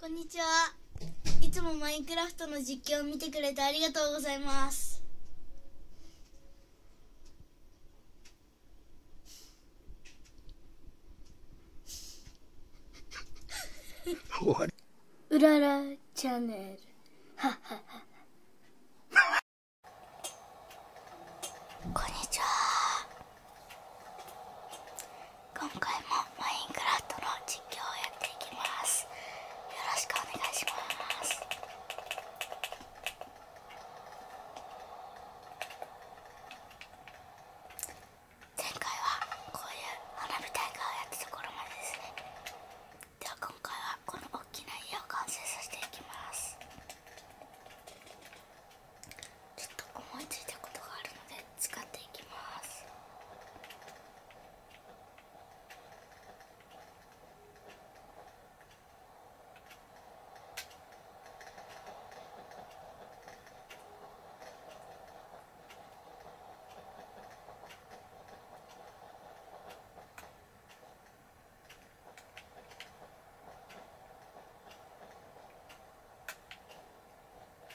こんにちは。いつもマインクラフトの実況を見てくれてありがとうございます。うららチャンネル。こんにちは。今回もマインクラフトの実況をやっていきますよろしくお願いします前回はこういう花火大会をやったところまでですねでは今回はこの大きな家を完成させていきますちょっと思いついたことがあるので使っていきますこ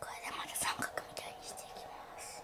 これでまた三角みたいにしていきます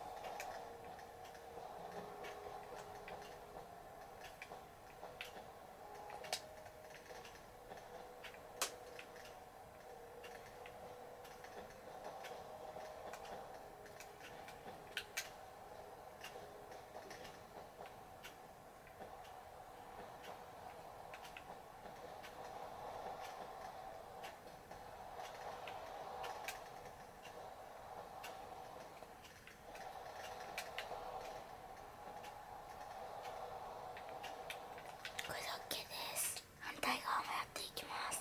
これで o です反対側もやっていきます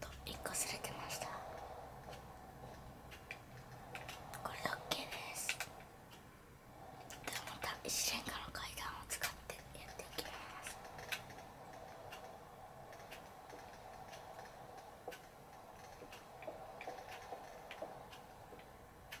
と1個擦れてましたこれで OK ですではまた一瞬から階段を使ってやっていきますこ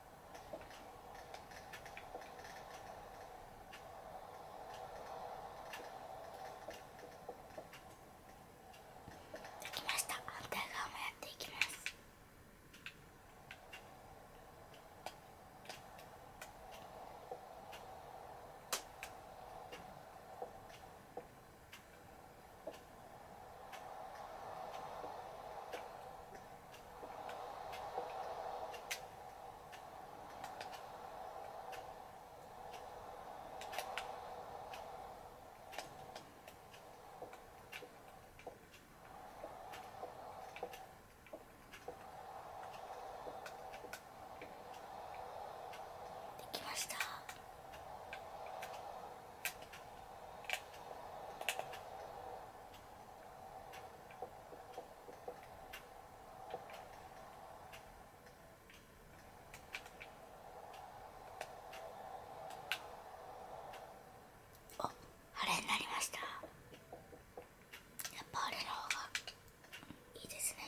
できました反対側もやっていきますできました。あっ、あれになりましたやっぱあれの方がいいですね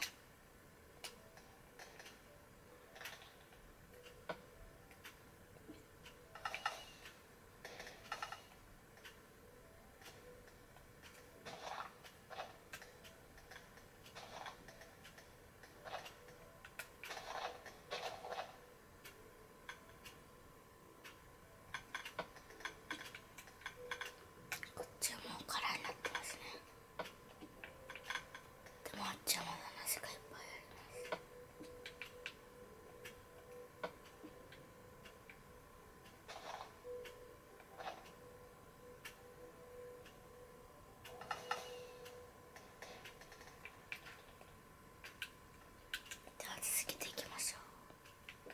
こっちはもう空になってますねでもあっちはまだ梨がいっぱいありますでは続けていきましょう。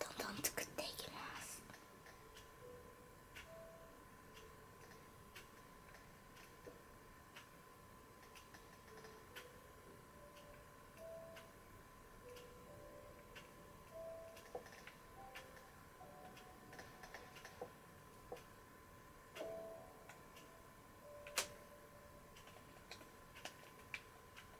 どんどん作っていきます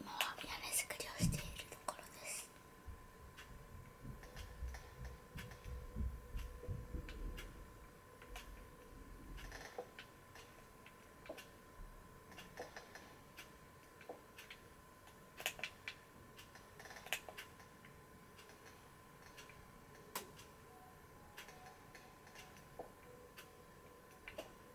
今は屋根作りをしているところです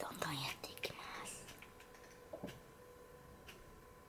どんどんやっていきます。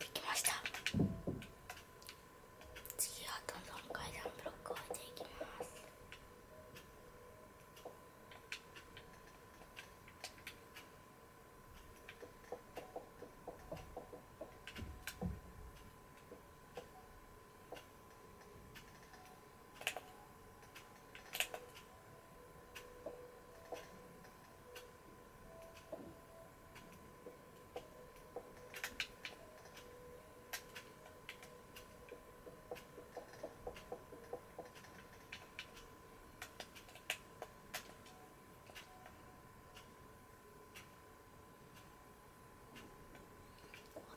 できました次はどんどん階段ブロックを置いていきます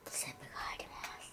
セブがあります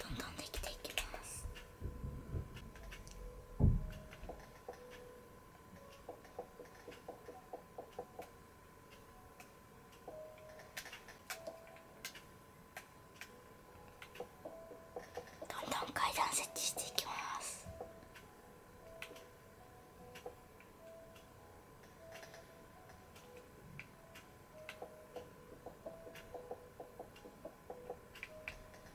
どんどんできていきます。どんどん階段設置していきます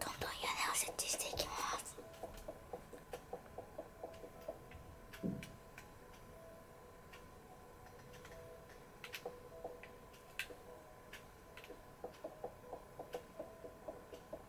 どんどん屋根を設置していきます。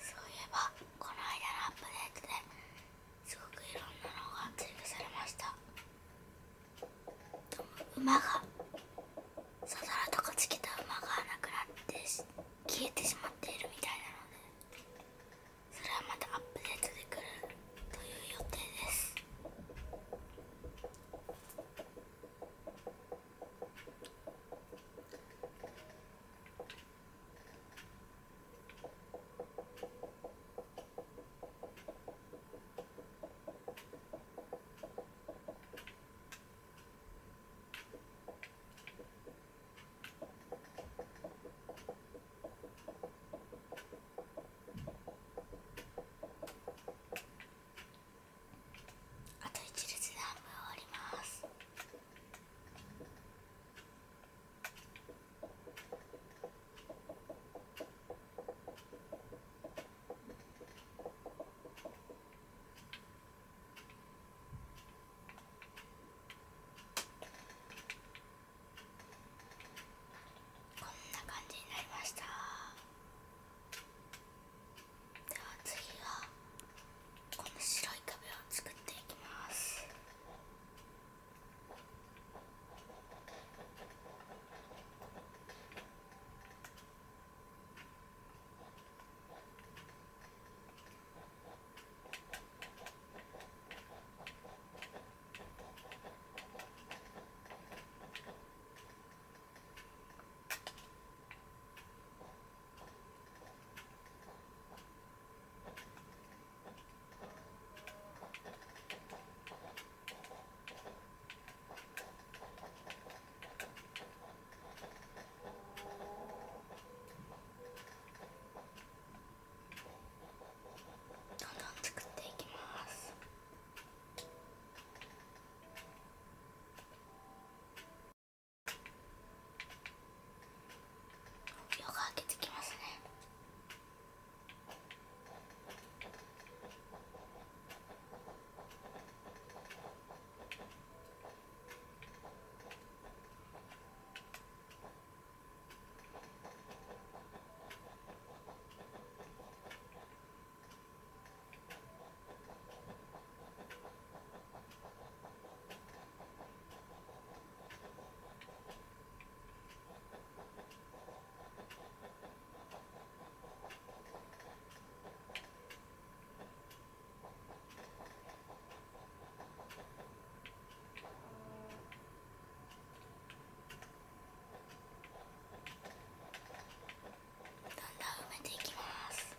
そういえばこの間のアップデートですごくいろんなのが追加されました馬がサドラとかつけた馬がなくなって消えてしまっているみたいなのでそれはまたアップデートで来るという予定ですあと1列で半分終わります。こんな感じになりましたでは次はこの白い壁を作っていきますどんどん作っていきます。夜が明けてきますねどんどん埋めていきます。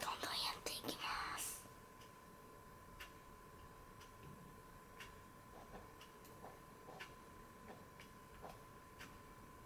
どんどんやっていきます。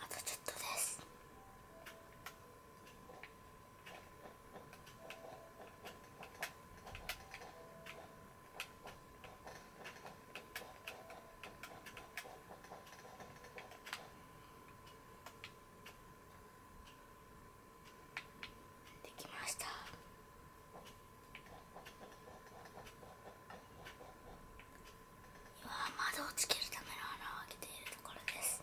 あとちょっとです。できました今は窓をつけるための穴を開けているところです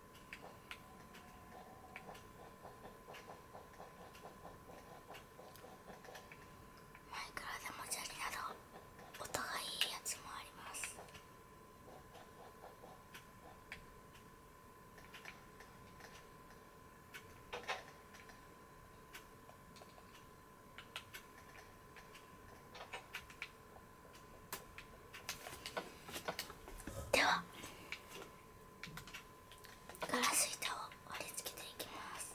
マイクラでもじゃりなど音がいいやつもありますではガラス板を貼り付けていきます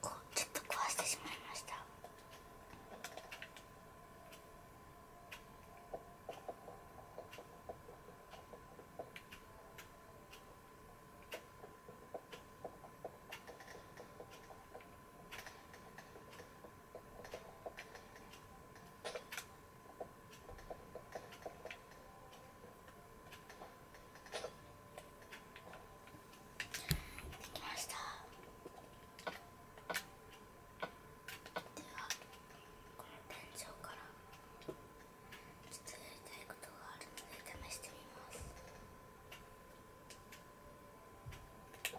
こうちょっと壊してしまいましたできましたではこの天井からちょやりたいことがあるので試してみますこ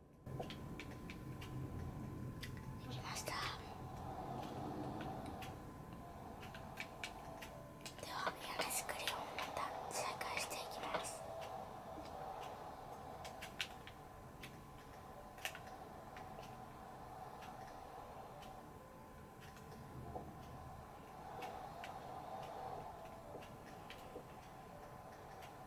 できましたではミラスクをまた再開していきますで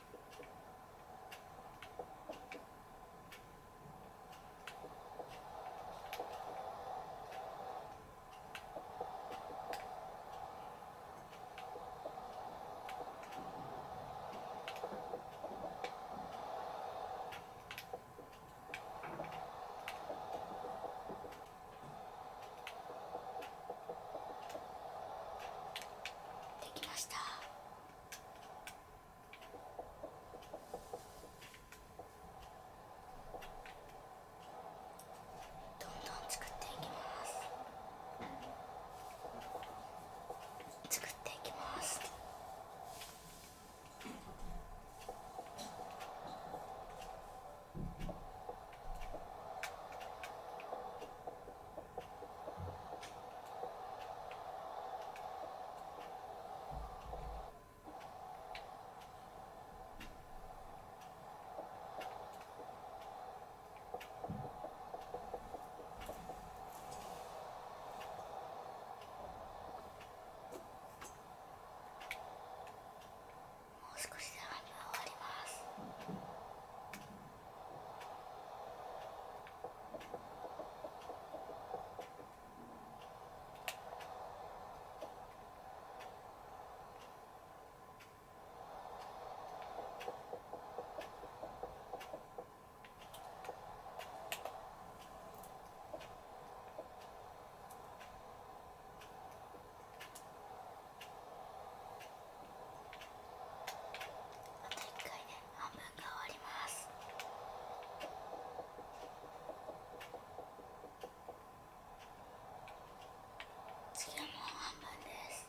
できました。どんどん作っていきます作っていきます…もう少しで半分終わります。あと1回で半分が終わります次は半分です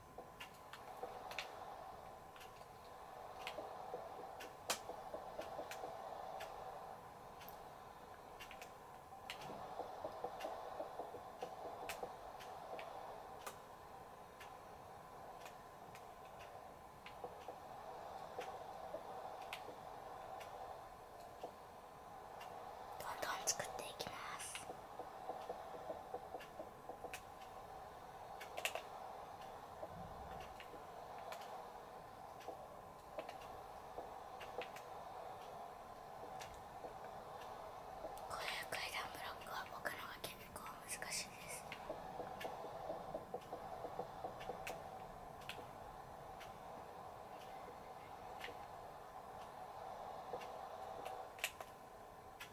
どんどん作っていきます。こういう階段ブロックは僕のが結は難しいです。あ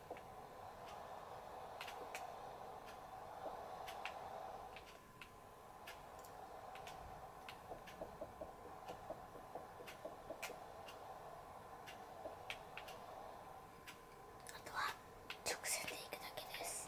とは直線でいくだけです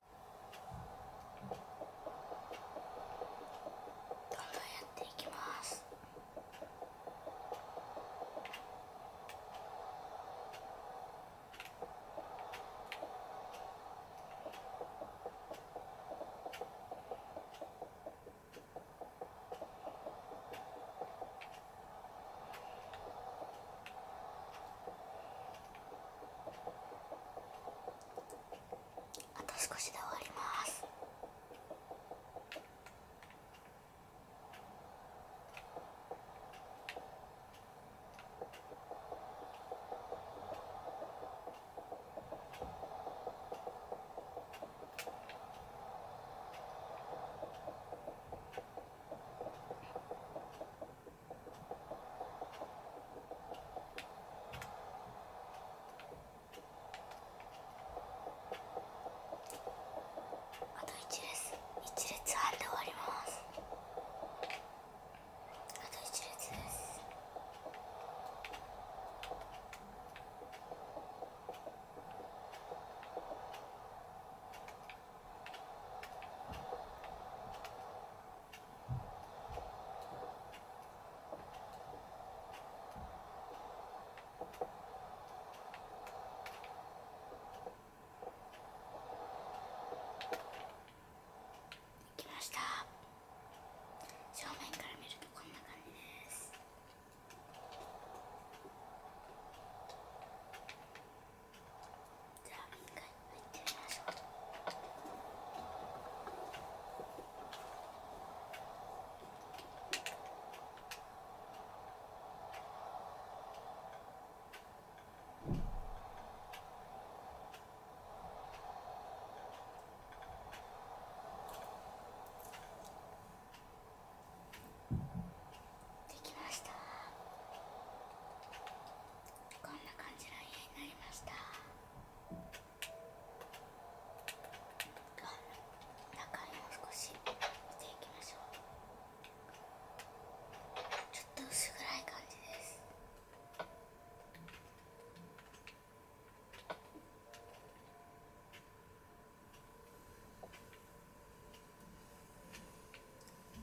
どんどんやっていきますあと少しで終わりますあと一列一列半で終わりますあと一列ですきました正面から見るとこんな感じですじゃあ一回入ってみましょうできました。こんな感じの家になりました中身も少し見ていきましょうちょっと薄暗い感じです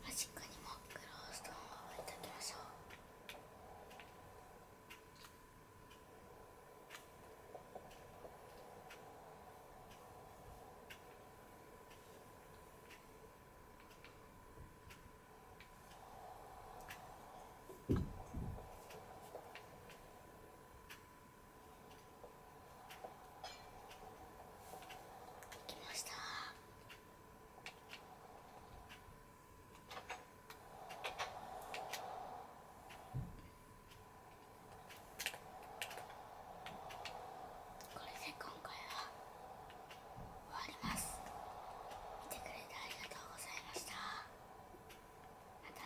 マジックにもクローストーンを置いておきましょうできました。これで今回は終わります見てくれてありがとうございましたまたね